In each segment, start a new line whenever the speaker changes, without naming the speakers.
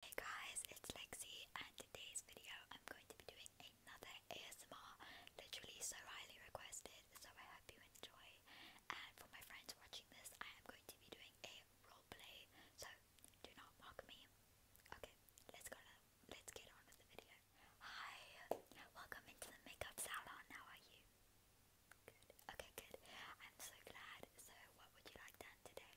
Hey guys, it's Lexi and today's video I'm going to be doing another ASMR literally so highly requested so I hope you enjoy and for my friends watching this I am going to be doing a roleplay so do not mock me. Okay, let's go let's get on with the video. Hi, welcome into the makeup salon, how are you? Good, okay good. I'm so glad. So what would you like done today?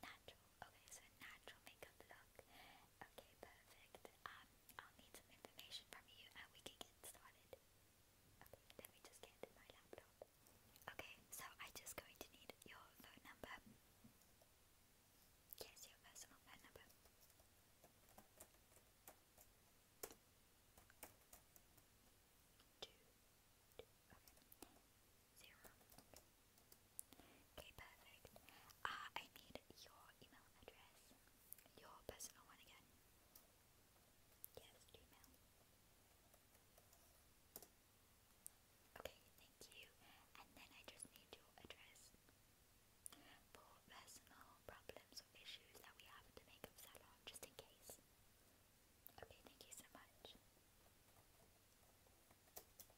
Natural. Okay, so natural makeup look. Okay, perfect. Um, I'll need some information from you and we can get started. let me just get my laptop. Okay, so I'm just going to need your phone number. Yes, your personal phone number. Two, Okay, perfect. Uh, I need your email address. Your personal one again. Yes, Gmail. Okay, thank you. And then I just need your address. For personal problems issues that we have at the makeup salon, just in case. Okay, thank you so much. Yes, okay. It's a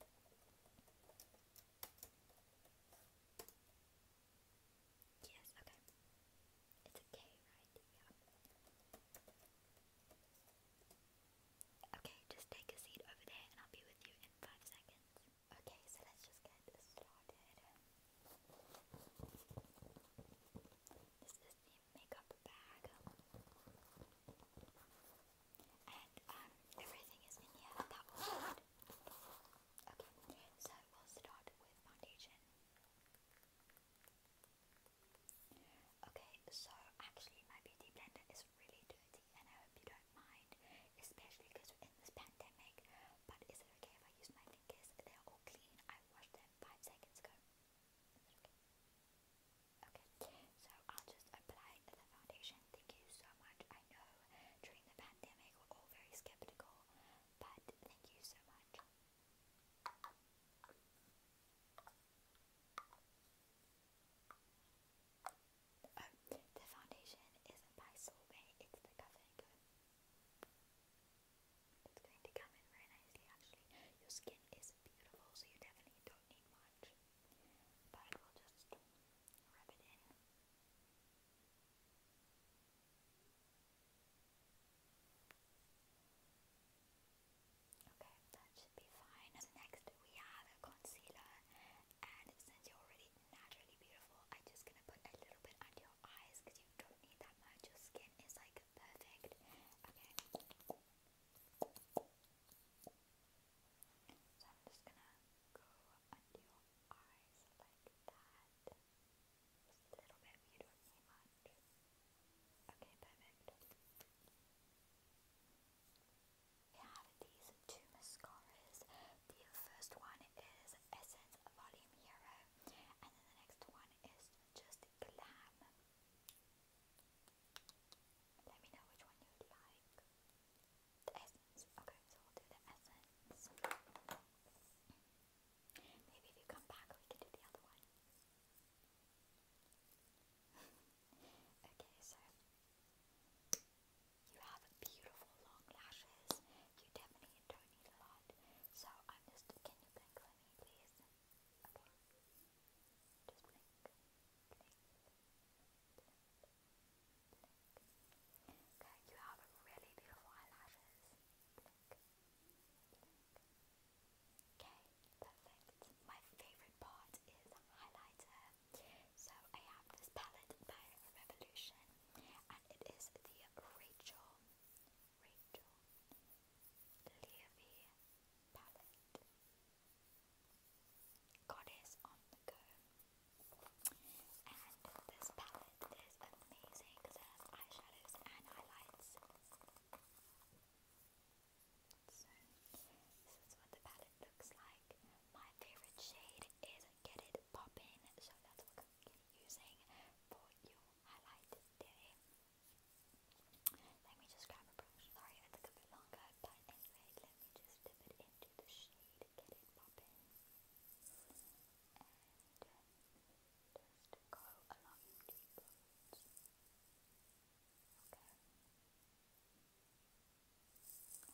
K, right? Yeah. Okay, just take a seat over there and I'll be with you in five seconds. Okay, so let's just get started. This is the makeup bag. And um everything is in here that will fit. Okay, so we'll start with foundation. Okay, so actually my beauty blender is really dirty and I hope you don't mind, especially because we're in this pandemic, but is it okay if I use my fingers, they're all clean. I washed them five seconds ago. Okay. so I'll just apply the foundation. Thank you so much. I know during the pandemic we're all very skeptical, but thank you so much. Oh, the foundation is by Solvay, it's the Cover and it's going to come in very nicely actually. Your skin is beautiful so you definitely don't need much. But we'll just rub it in. Okay, that should be fine. next we have a concealer and since you already naturally beautiful. I'm just gonna put a little bit under your eyes because you don't need that much. Your skin is like perfect. Okay. So I'm just gonna go under your eyes like that. Just a little bit, you don't need much. Okay, perfect. I have these two mascaras. The first one is Essence Volume Hero, and then the next one is just Glam. Let me know which one you like. Essence. Okay, so we'll do the Essence. Maybe if you come back, we can do the other one. okay, so you have beautiful long lashes. You definitely don't need a lot. So I'm just. Can you blink for me, please? Okay. Just Blink. Blink. Okay, you have really beautiful eyelashes. Blink. Blink. Okay, perfect. My favorite part is highlighter. So I have this palette by Revolution, and it is the Rachel Rachel Levy palette. Goddess on the go. And this palette is amazing because it has eyeshadows and highlights. So, this is what the palette looks like. My favorite shade is Get It Poppin', so that's what I'm going to be using for your highlight today. Let me just grab a brush. Sorry, I took a bit longer, but anyway, let me just dip it into the shade Get It Poppin'. And just go along deeper. Okay.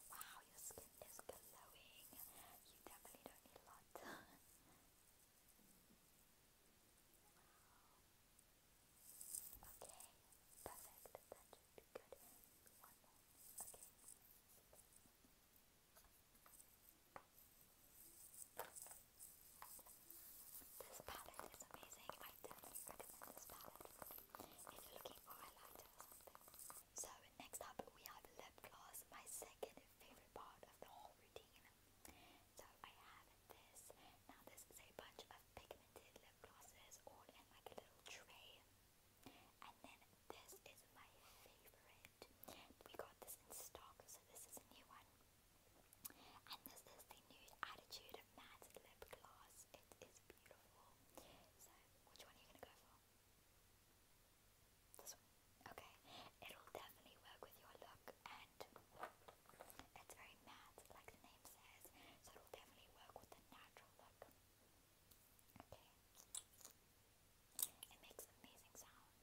Wow, your skin is glowing. You definitely don't need lot. Okay, perfect. That should be good. One more. Okay, this palette is amazing. I definitely recommend this palette if you're looking for a So next up we have lip gloss, my second favorite part of the whole routine. So I have this. Now this is a bunch of pigmented lip glosses all in like a little tray. And then this is my favorite. We got this in stock, so this is a new one. And this is the Nude Attitude Matte Lip Gloss. It is beautiful. So, which one are you going to go for? This one. Okay. It'll definitely work with your look and it's very matte, like the name says. So, it'll definitely work with the natural look. Okay. It makes amazing sounds.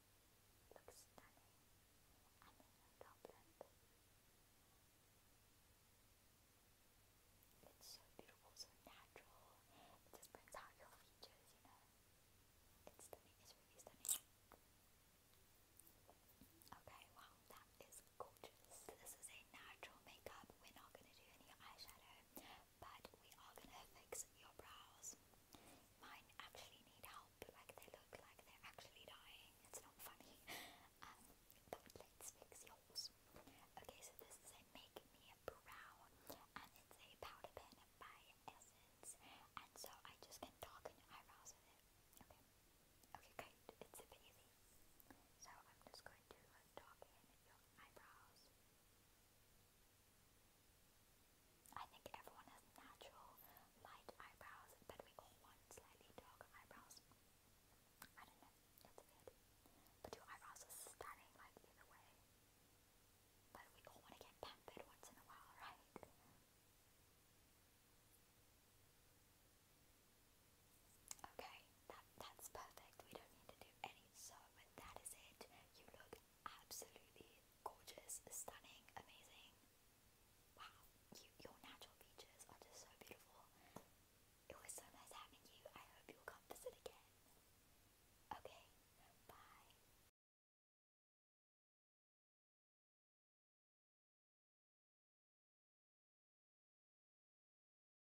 Looks stunning. And then a doublet. It's so beautiful, so natural. It just brings out your features, you know. It's stunning, it's really stunning. Okay, wow, that is gorgeous. This is a natural makeup. We're not gonna do any eyeshadow but we are gonna fix your brows. Mine actually need help, like they look like they're actually dying. It's not funny. Um, let's fix yours. Okay, so this is a Make Brow, and it's a powder pen by Essence, and so I just can darken your eyebrows with it. Okay. Okay, great. It's super easy. So I'm just going to darken your eyebrows. I think everyone has natural light eyebrows, but we all want slightly darker eyebrows. I don't know, it's weird. But your eyebrows are stunning, either way. But we all want to get pampered once in a while, right? Okay, that, that's perfect. We don't need to do any so, that is it. You look absolutely gorgeous, stunning, amazing. Wow, your natural features are just so beautiful. It was so nice having you. I hope you'll come visit again. Okay, bye.